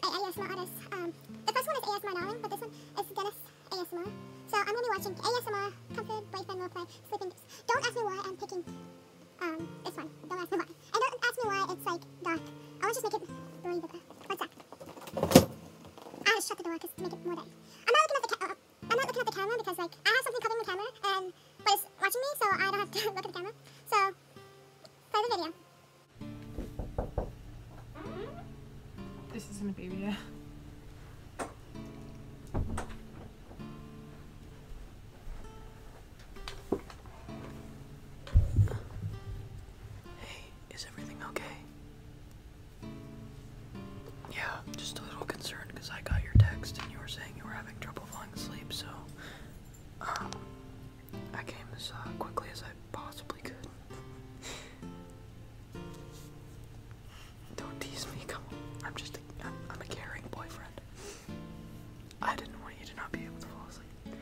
ASMR Um, the first one is ASMR Darling, but this one is Dennis ASMR. So I'm gonna be watching ASMR, Comfort, Boyfriend, Roleplay, Sleeping Don't ask me why I'm picking um, this one. Don't ask me why. And don't ask me why it's like dark. I want to just make it What's up? I had to shut the door because to make it more dark. I'm not looking at the ca- I'm not looking at the camera because like I have something covering the camera and it's watching me, so I don't have to look at the camera. So Saygı This is gonna be weird. Hey, is everything okay? Yeah, just a little concerned because I got your text and you were saying you were having trouble falling asleep, so um, I came as uh, quickly as I possibly could. Don't tease me, come on. I'm just I'm, I'm a caring boyfriend. I didn't want you to not be able to fall asleep.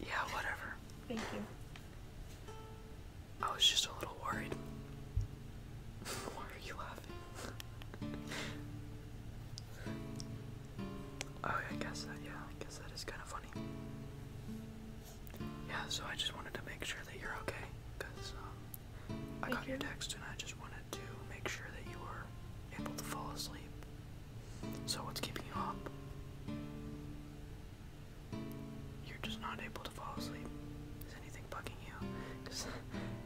Yeah, whatever. Thank you. I was just a little worried. Why are you laughing? oh, I guess that, yeah, I guess that is kind of funny. Yeah, so I just wanted to make sure that you're okay, because um, I got your text and I just wanted to make sure that you were able to fall asleep. So, what's keeping you up? You're just not able to fall asleep. Is anything bugging you? Cause,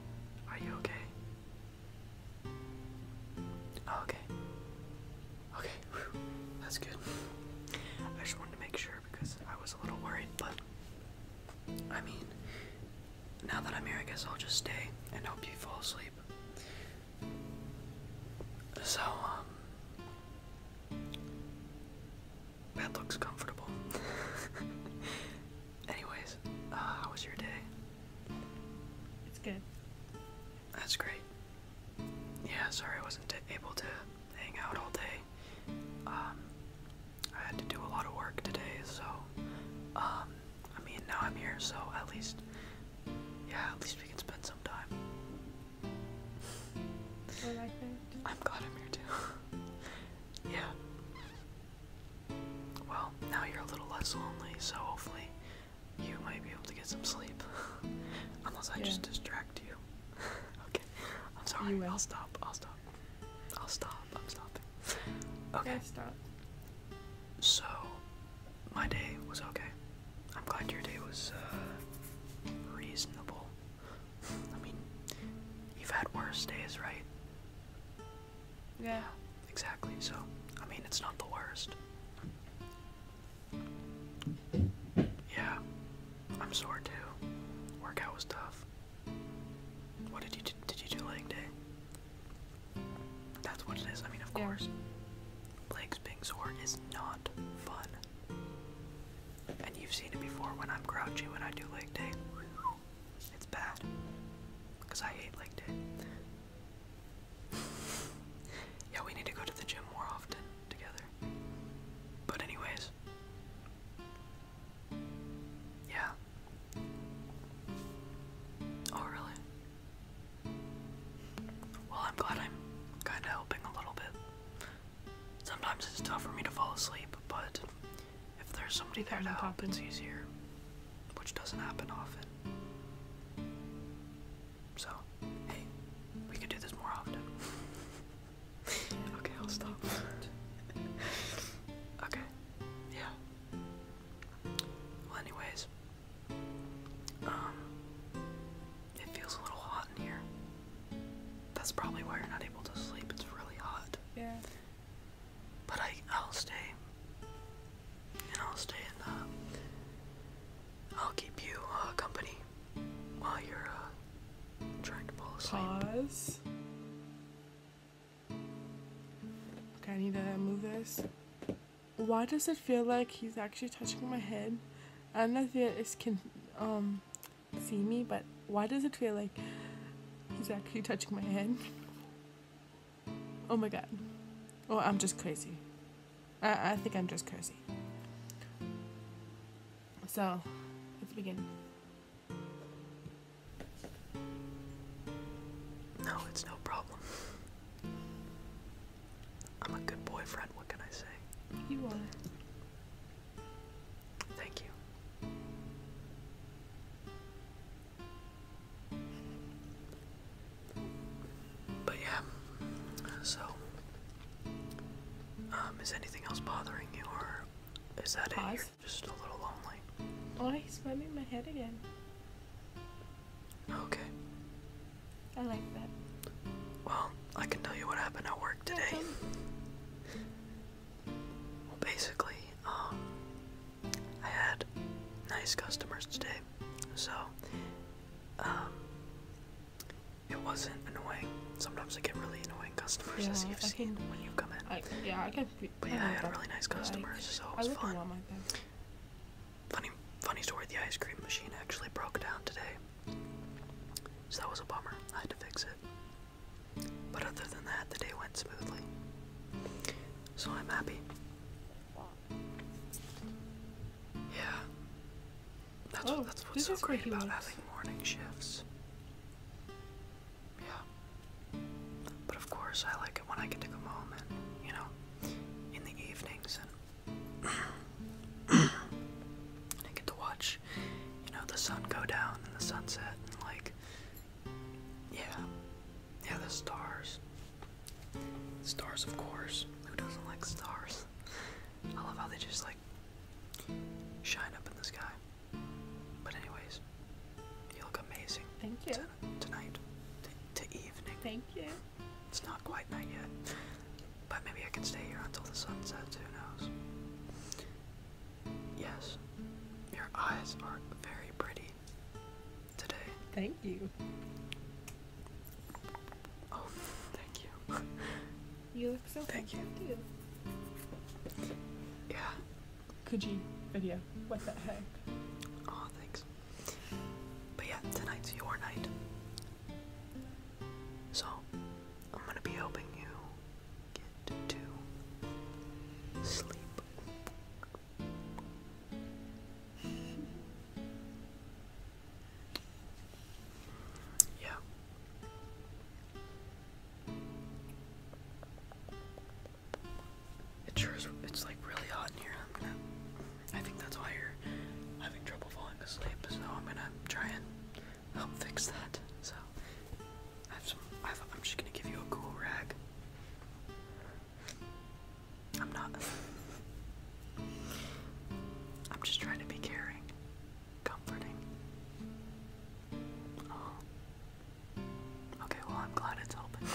are you okay? Oh, okay. Okay, that's good. I just wanted to make sure because I was a little worried, but I mean, now that I'm here, I guess I'll just stay and hope you fall asleep. So, um, bed looks comfortable. Anyways, uh, how was your day? It's good. That's great. Yeah, sorry I wasn't able to hang out all day. Um, I had to do a lot of work today, so, um, I mean, now I'm here, so at least, yeah, at least we can spend some time. What I think. I'm glad I'm here too. yeah well, now you're a little less lonely, so hopefully you might be able to get some sleep. Unless I just distract you. okay. I'm sorry. I'll stop. I'll stop. I'll stop. I'm stopping. Okay. Stop. So, my day was okay. I'm glad your day was uh, reasonable. I mean, you've had worse days, right? Yeah. Exactly. So, I mean, it's not the worst. Yeah. I'm sore too. Workout was tough. What did you do? Did you do leg day? That's what it is. I mean, of course. Legs being sore is not fun. And you've seen it before when I'm grouchy when I do leg day. It's bad. Because I hate leg day. Yeah, we need to go to the gym more often together. But, anyways. Yeah. Oh, really? Well, I'm glad I'm kinda helping a little bit. Sometimes it's tough for me to fall asleep, but if there's somebody there to help, it's easier, which doesn't happen often. So, hey, we could do this more often. okay, I'll stop. okay, yeah. Well, anyways, um, it feels a little hot in here. That's probably why you're not able to sleep. It's really hot. Yeah. But I, I'll stay. And I'll stay and uh, I'll keep you uh, company while you're uh, trying to fall asleep. Pause. Okay, I need to move this. Why does it feel like he's actually touching my head? I don't know if he can um, see me, but why does it feel like he's actually touching my head? Oh my god. Oh, I'm just crazy. I, think I'm just crazy. So, let's begin. No, it's no problem. I'm a good boyfriend, what can I say? You are. Thank you. But yeah, so um, is anything else bothering you, or is that it? just a little lonely. Oh, he's rubbing my head again. Okay. I like that. Well, I can tell you what happened at work today. basically, um, I had nice customers today, so um, it wasn't annoying. Sometimes I get really annoying customers, yeah, as you've I seen when you have come in. I, yeah, I can. But yeah, I, had really nice customers, so it was fun. Funny, funny story. The ice cream machine actually broke down today, so that was a bummer. I had to fix it. But other than that, the day went smoothly so I'm happy. Yeah. That's, oh, what, that's what's so great about having morning shifts. Yeah. But of course, I like it when I get to come home and, you know, in the evenings and, and I get to watch, you know, the sun go down and the sunset and, like, yeah. Yeah, the stars. Stars, of course. Who doesn't like stars? I love how they just like shine up in the sky. But anyways, you look amazing. Thank you. tonight, to evening. Thank you. It's not quite night yet, but maybe I can stay here until the sun sets. Who knows? Yes, your eyes are very pretty today. Thank you. Oh, thank you. you look so Thank you. Yeah. Could video? What the heck? Oh, thanks. But yeah, tonight's your night. So, I'm gonna be helping you get to sleep yeah. It sure is, it's like really hot in here. i think that's why you're having trouble falling asleep, so I'm gonna try and help fix that. So, I have some. I have, I'm just gonna give you a cool rag. I'm not. I'm just trying to be caring, comforting. Oh. Okay, well, I'm glad it's open.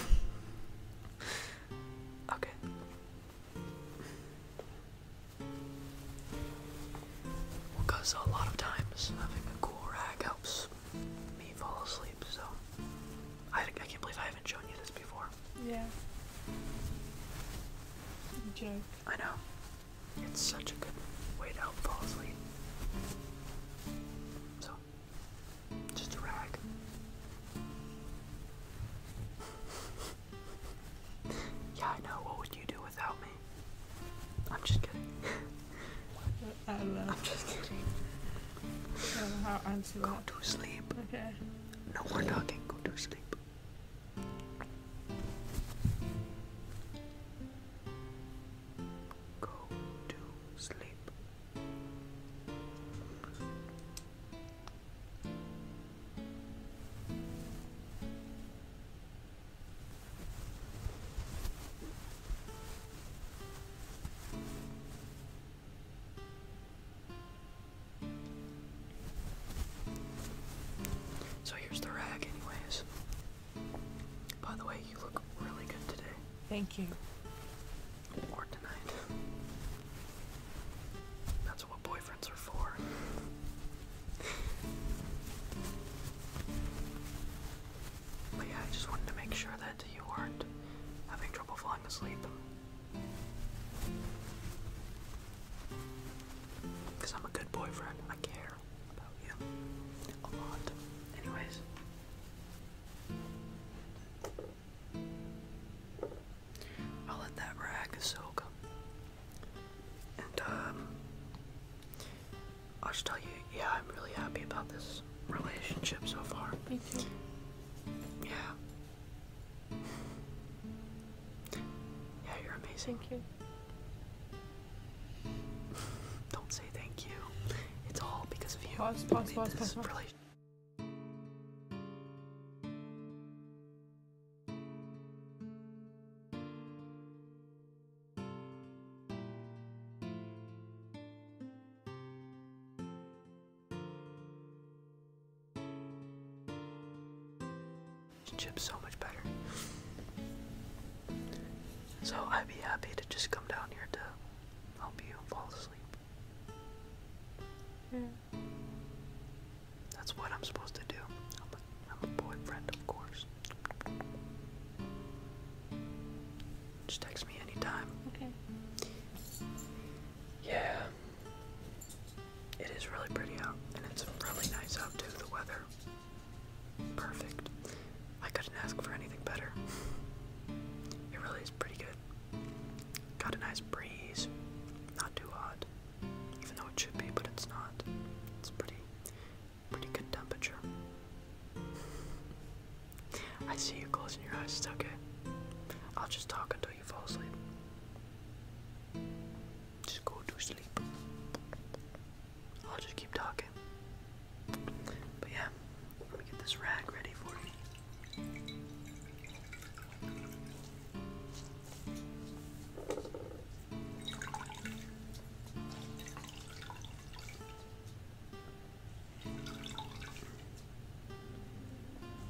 okay. Because a lot of times having a cool rag helps me fall asleep. So I, can't believe I haven't shown you this before. Yeah. Joke. I know. It's such a good way to fall asleep. So, just a rag. yeah, I know. What would you do without me? I'm just kidding. I don't know. am just kidding. how to answer Go to sleep. Okay. No more talking. Go to sleep. Go to sleep. So here's the rag, anyways. By the way, you look really good today. Thank you. Or tonight. That's what boyfriends are for. But yeah, I just wanted to make sure that you weren't having trouble falling asleep. Because I'm a good boyfriend. I care about you a lot. Anyways. I'll let that rag soak. And, um, I will just tell you, yeah, I'm really happy about this relationship so far. Me too. Yeah. Yeah, you're amazing. Thank you. Don't say thank you. It's all because of you. Pause, pause, pause, Chip's so much better. So I'd be happy to just come down here to help you fall asleep. Yeah. Hmm. That's what I'm supposed to do. i I'm a boyfriend, of course. Just text me anytime. Okay. Yeah. It is really pretty out, and it's really nice out too, the weather. Perfect. I couldn't ask for anything better. It really is pretty good. Got a nice breeze. Not too hot. Even though it should be, but it's not. It's pretty pretty good temperature. I see you closing your eyes, it's okay. I'll just talk until you fall asleep. Just go to sleep. I'll just keep talking. But yeah, let me get this rag ready for you.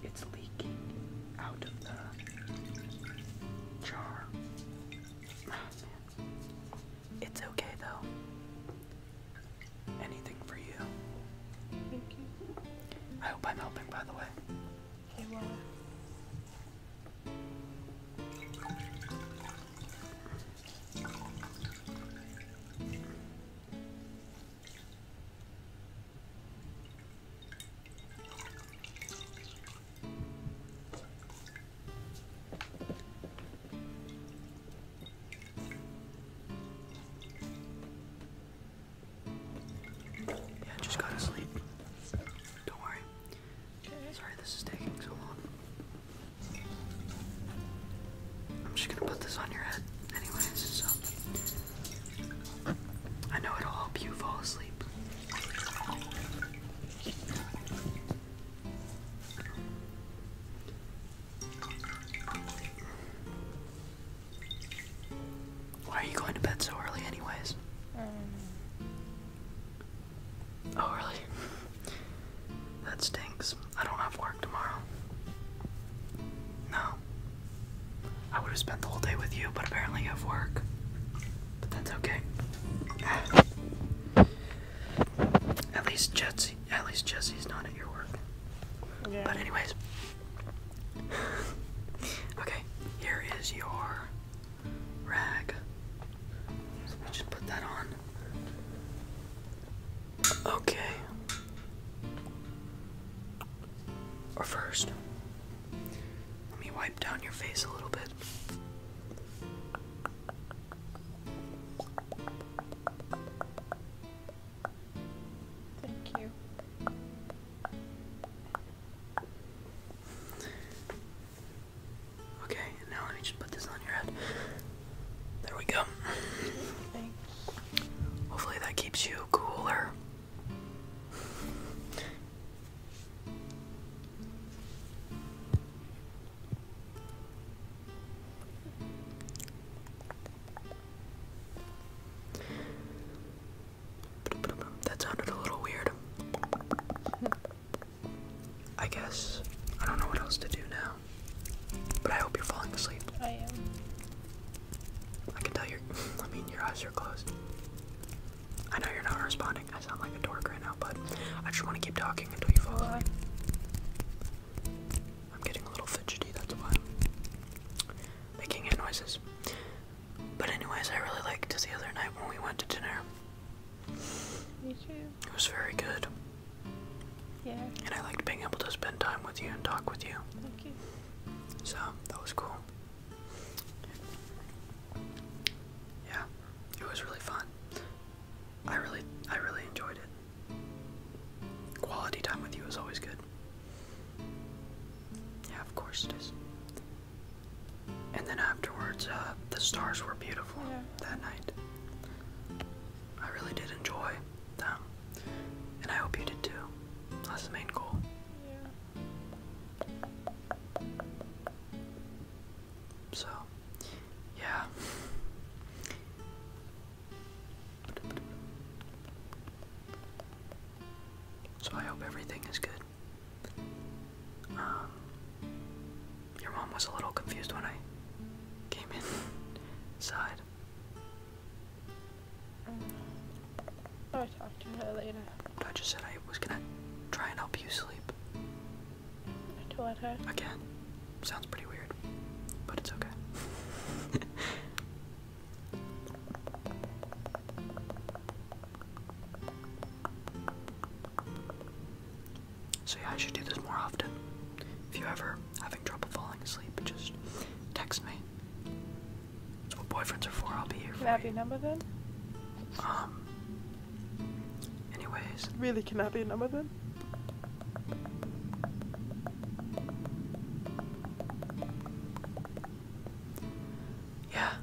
It's leaking out of the jar. It's okay though. Anything for you. Thank you. I hope I'm helping, by the way. Yeah, just gotta sleep. Don't worry. Sorry, this is taking so long. I'm just gonna put this on your head, anyways, so I know it'll help you fall asleep. Why are you going to bed so early, anyways? Um, Oh, really? that stinks. I don't have work tomorrow. No. I would have spent the whole day with you, but apparently you have work. But that's okay. at least Jesse, at least Jesse's not at your work. But anyways. okay, here is your rag. So we just put that on. Okay. Or first, let me wipe down your face a little bit. Thank you. Okay, now let me just put this on your head. There we go. Hopefully that keeps you cooler. That sounded a little weird. I guess I don't know what else to do now. But I hope you're falling asleep. I am. I can tell your I mean your eyes are closed. I know you're not responding. I sound like a dork right now, but I just want to keep talking until you fall asleep. I'm getting a little fidgety, that's why. Making noises. But anyways, I really liked the other night when we went to dinner. Me too. It was very good. Yeah. And I liked being able to spend time with you and talk with you. Thank you. So, that was cool. Yeah, it was really fun. I really I really enjoyed it. Quality time with you is always good. Yeah, of course it is. And then afterwards, uh, the stars were beautiful that night. I really did enjoy them, and I hope you did too. That's the main goal. So, yeah. So I hope everything is good. Um, your mom was a little confused when I came inside. i talked to her later. I just said I was gonna try and help you sleep. I told her. Again. Sounds pretty weird, but it's okay. So yeah, I should do this more often. If you're ever having trouble falling asleep, just text me. That's what boyfriends are for. I'll be here Can I have number then? Um. Anyways. Really, can I have number then? Yeah.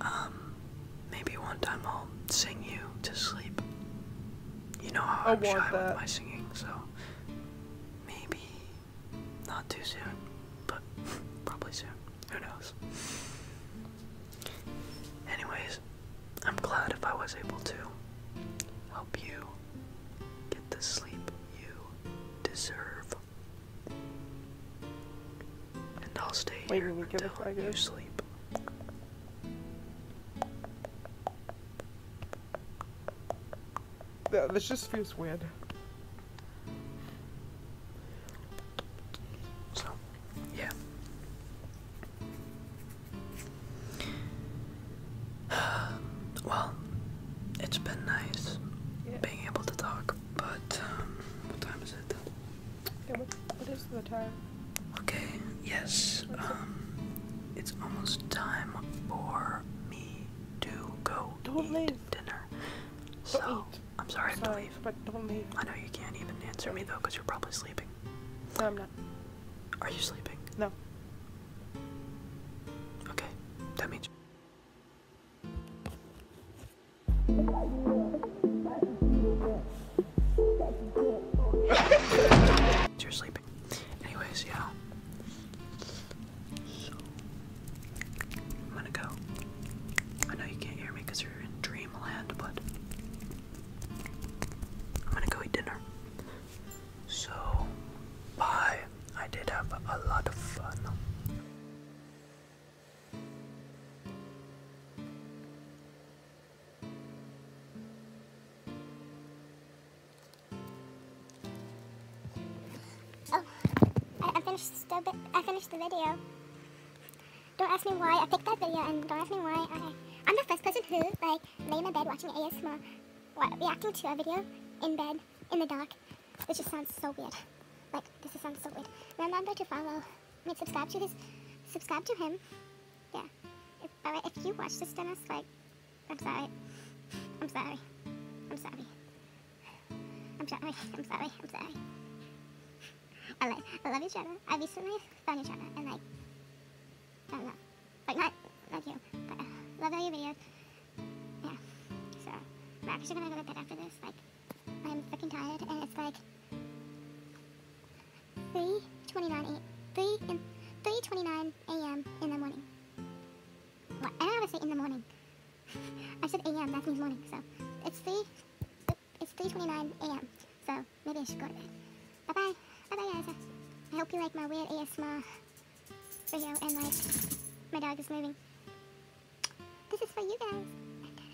Um. Maybe one time I'll sing you to sleep. You know how I I'm with my singing, so maybe not too soon, but probably soon. Who knows? Anyways, I'm glad if I was able to help you get the sleep you deserve. And I'll stay Wait, here until you sleep this just feels weird. So, yeah. well, it's been nice being able to talk, but um, what time is it? Okay, what is the time? Okay, yes, um, it's almost time for me to go do eat leave. dinner. So, I'm sorry, to leave. but don't leave. I know you can't even answer me, though, because you're probably sleeping. No, I'm not. Are you sleeping? No. Okay, that means... You're sleeping. Anyways, yeah. I'm gonna go. I know you can't hear me you're in dreamland, but I'm gonna go eat dinner. So, bye. I did have a lot of fun. Oh, I, finished the video. Don't ask me why I picked that video, and don't ask me why I. I'm the first person who like lay in my bed watching ASMR, what, reacting to a video in bed in the dark, which just sounds so weird. Like this just sounds so weird. Remember to follow subscribe to his, subscribe to him. Yeah. If, alright, uh, you watch this, Dennis, like, I'm sorry. I'm sorry. I'm sorry. I'm sorry. I'm sorry. I'm sorry. I like, I love your channel. I recently found your channel and like, I don't know, like not, not you, but uh, love all your videos. Yeah. So, I'm actually gonna go to bed after this. Like. I'm freaking tired, and it's like 3.29 3 in 3.29 a.m. in the morning. What? I don't ever say in the morning. I said a.m. That means morning, so it's 3. It's 3.29 a.m. So maybe I should go to bed. Bye bye. Bye bye, guys. I hope you like my weird ASMR video and like my dog is moving. This is for you guys.